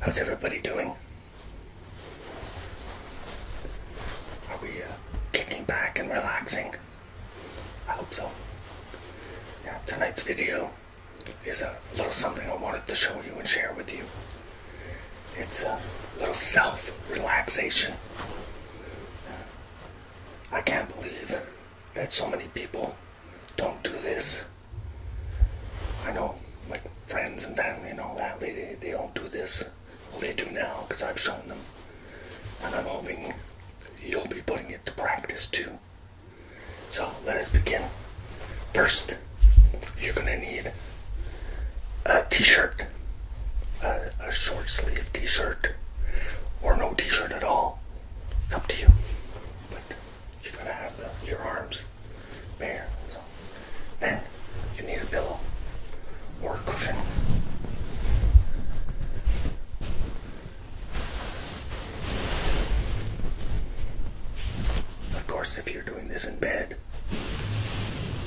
How's everybody doing? Are we uh, kicking back and relaxing? I hope so. Yeah, tonight's video is a little something I wanted to show you and share with you. It's a little self relaxation. I can't believe that so many people don't do this. I know, like friends and family and all that, they, they don't do this. Well, they do now because I've shown them. And I'm hoping you'll be putting it to practice too. So let us begin. First, you're going to need a t shirt, a, short sleeve t shirt, or no t shirt at all. It's up to you. But you're going to have your arms there. So then you need a pillow or a cushion. Of course, if you're doing this in bed,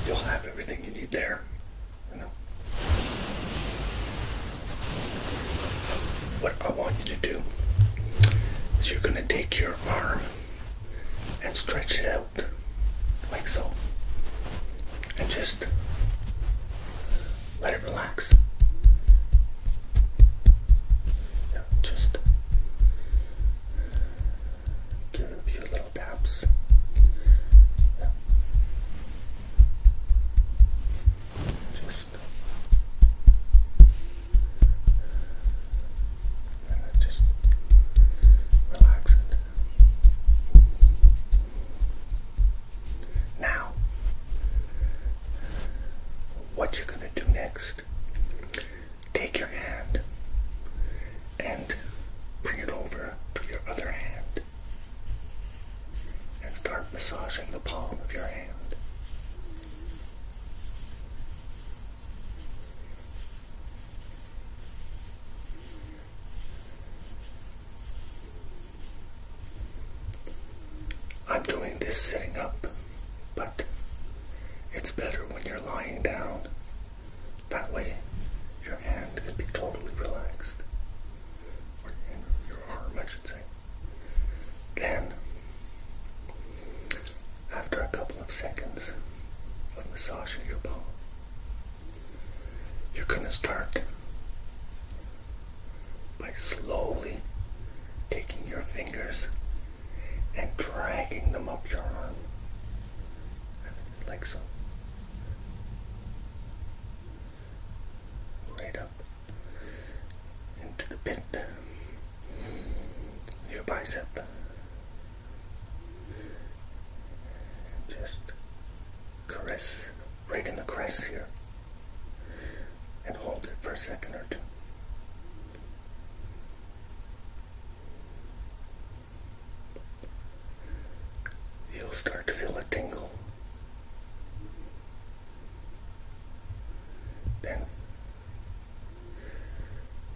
you'll have everything you need there. You know. What I want you to do is you're going to take your arm and stretch it out like so. And just let it relax. Yeah, just give it a few little taps. Yeah. Just and then just relax it. Now, what you're going to do next, take your hand and bring it over to your other hand and start massaging the palm of your hand. I'm doing this sitting up, but it's better when you're lying down. That way, your hand can be totally relaxed, or your arm, I should say. Then after a couple of seconds of massaging your ball, you're going to start by slowly taking your fingers and dragging them up your arm, like so. Right up into the pit your bicep. Just caress right in the crest here and hold it for a second or two. You'll start to feel a tingle. Then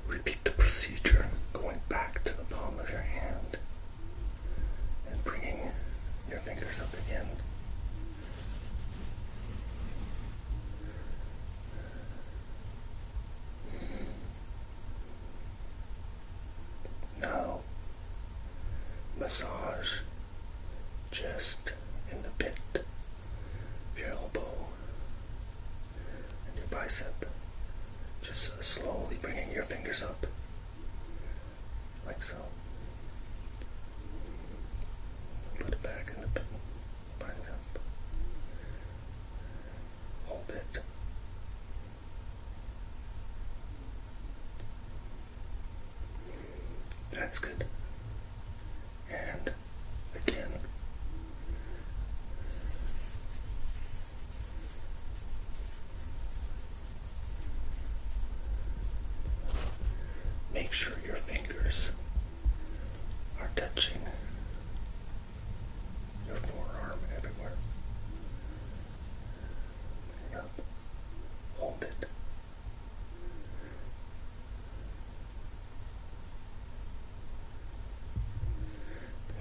Repeat the procedure, going back to the palm of your hand and bringing your fingers up again. Now, massage just in the pit your elbow and your bicep. Just slowly bringing your fingers up, like so. Put it back in the bicep. Hold it. That's good. And again. Make sure your fingers are touching your forearm everywhere. Yep. Hold it.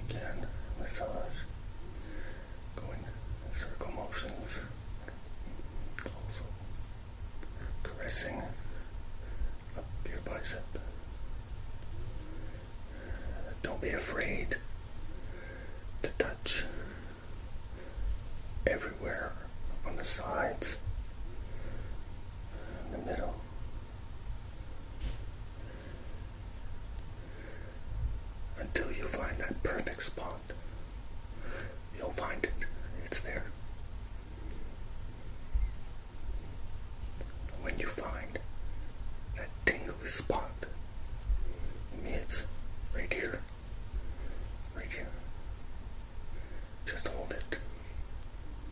Again, massage, going circle motions, also caressing up your bicep. Don't be afraid to touch everywhere on the sides in the middle. Until you find that perfect spot, you'll find it. It's there. When you find that tingly spot, me it's right here. Right here. Just hold it.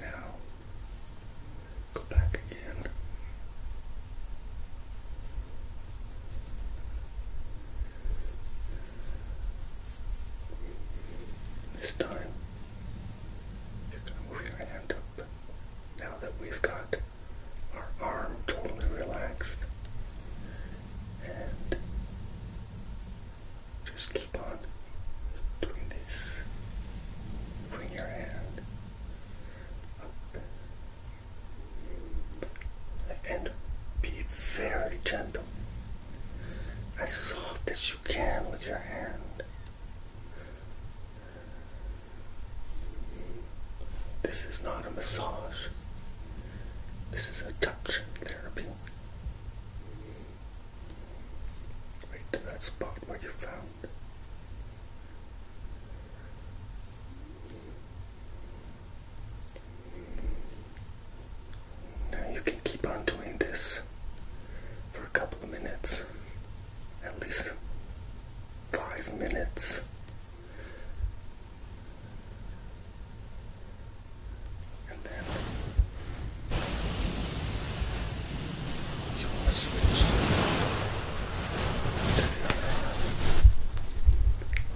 Now go back again. This time you're going to move your hand up. Now that we've got our arm totally relaxed and just keep on doing this. Bring your hand up and be very gentle, as soft as you can with your hand. This is not a massage. This is a touch therapy. Right to that spot where you found. Now you can keep on doing this for a couple of minutes, at least five minutes. And then you switch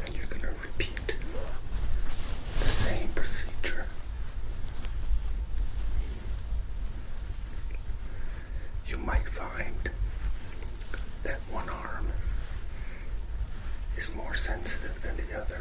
and you're going to repeat the same procedure. You might find that one arm is more sensitive than the other.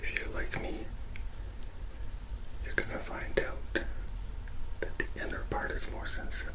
If you like me, you're going to find out that the inner part is more sensitive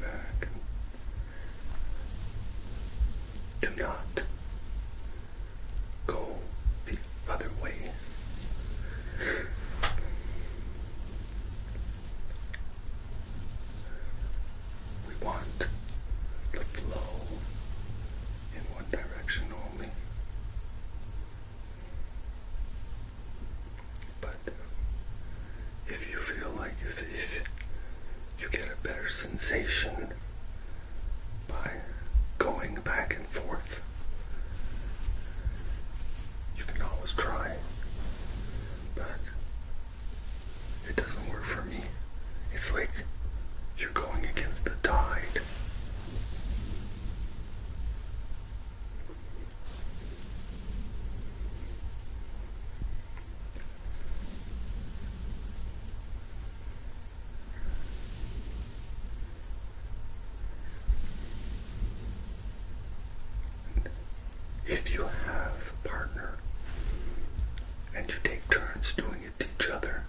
Go back. Do not go the other way. We want the flow in one direction only. But if you feel like if, if you get a better sensation by going back and forth, you can always try, but it doesn't work for me. It's like you're going against the tide. If you have a partner and you take turns doing it to each other,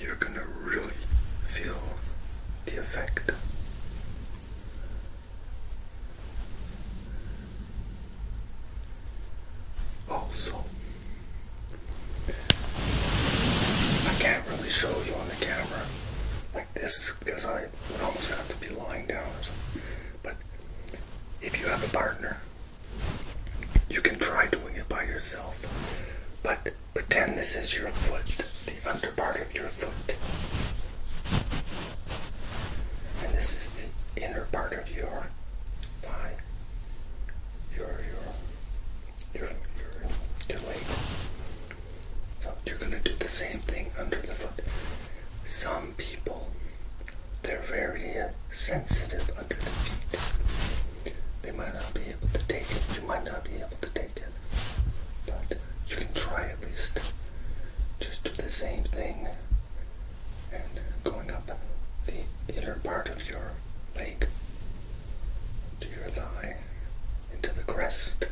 you're going to really feel the effect also, I can't really show you on the camera like this because I would almost have to be lying down or something. But if you have a partner, you can try doing it by yourself. But pretend this is your foot, the under part of your foot. And this is the inner part of your thigh, your your your your, your leg. So you're gonna do the same thing under the foot. Some people they're very sensitive under the feet. They might not be able to take it. You might not be able to take it. But you can try at least. Just do the same thing and going up the inner part of your leg to your thigh, into the crest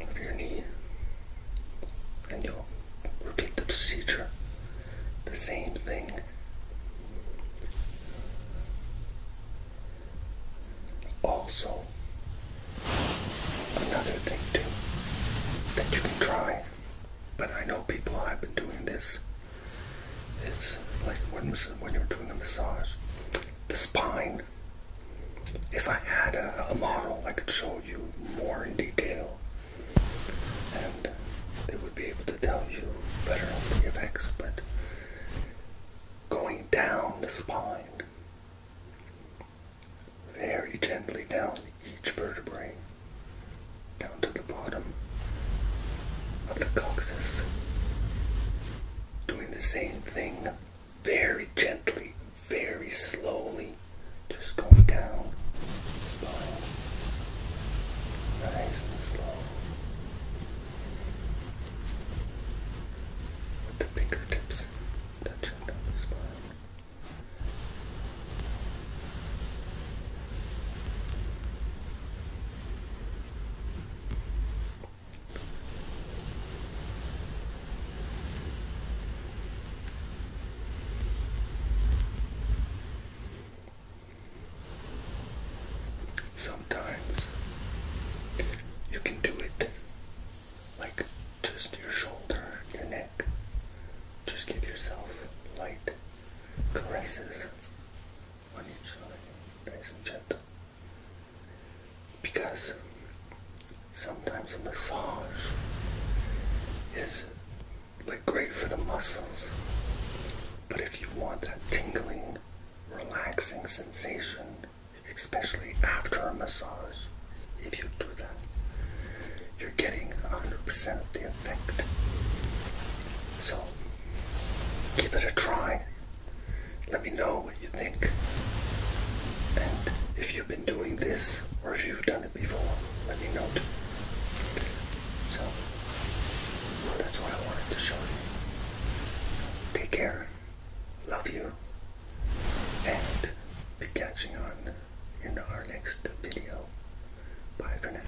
of your knee, and you'll repeat the procedure, the same thing. Also, another thing too that you can try but I know people have been doing this. It's like when, you're doing a massage, the spine. If I had a, a model, I could show you more in detail, and they would be able to tell you better on the effects. But going down the spine very gently down each vertebrae, down to the bottom of the coccyx. Doing the same thing very gently, very slowly, just going down the spine, nice and slow. With the fingertips touching down the spine. Sometimes you can do it like just your shoulder, your neck. Just give yourself light caresses on each side, nice and gentle. Because sometimes a massage is like great for the muscles, but if you want that tingling, relaxing sensation, especially after a massage, if you do that, you're getting 100% the effect. So, give it a try. Let me know what you think. And if you've been doing this or if you've done it before, let me know. So, that's what I wanted to show you. Take care. Love you. And be catching on in our next video. Bye for now.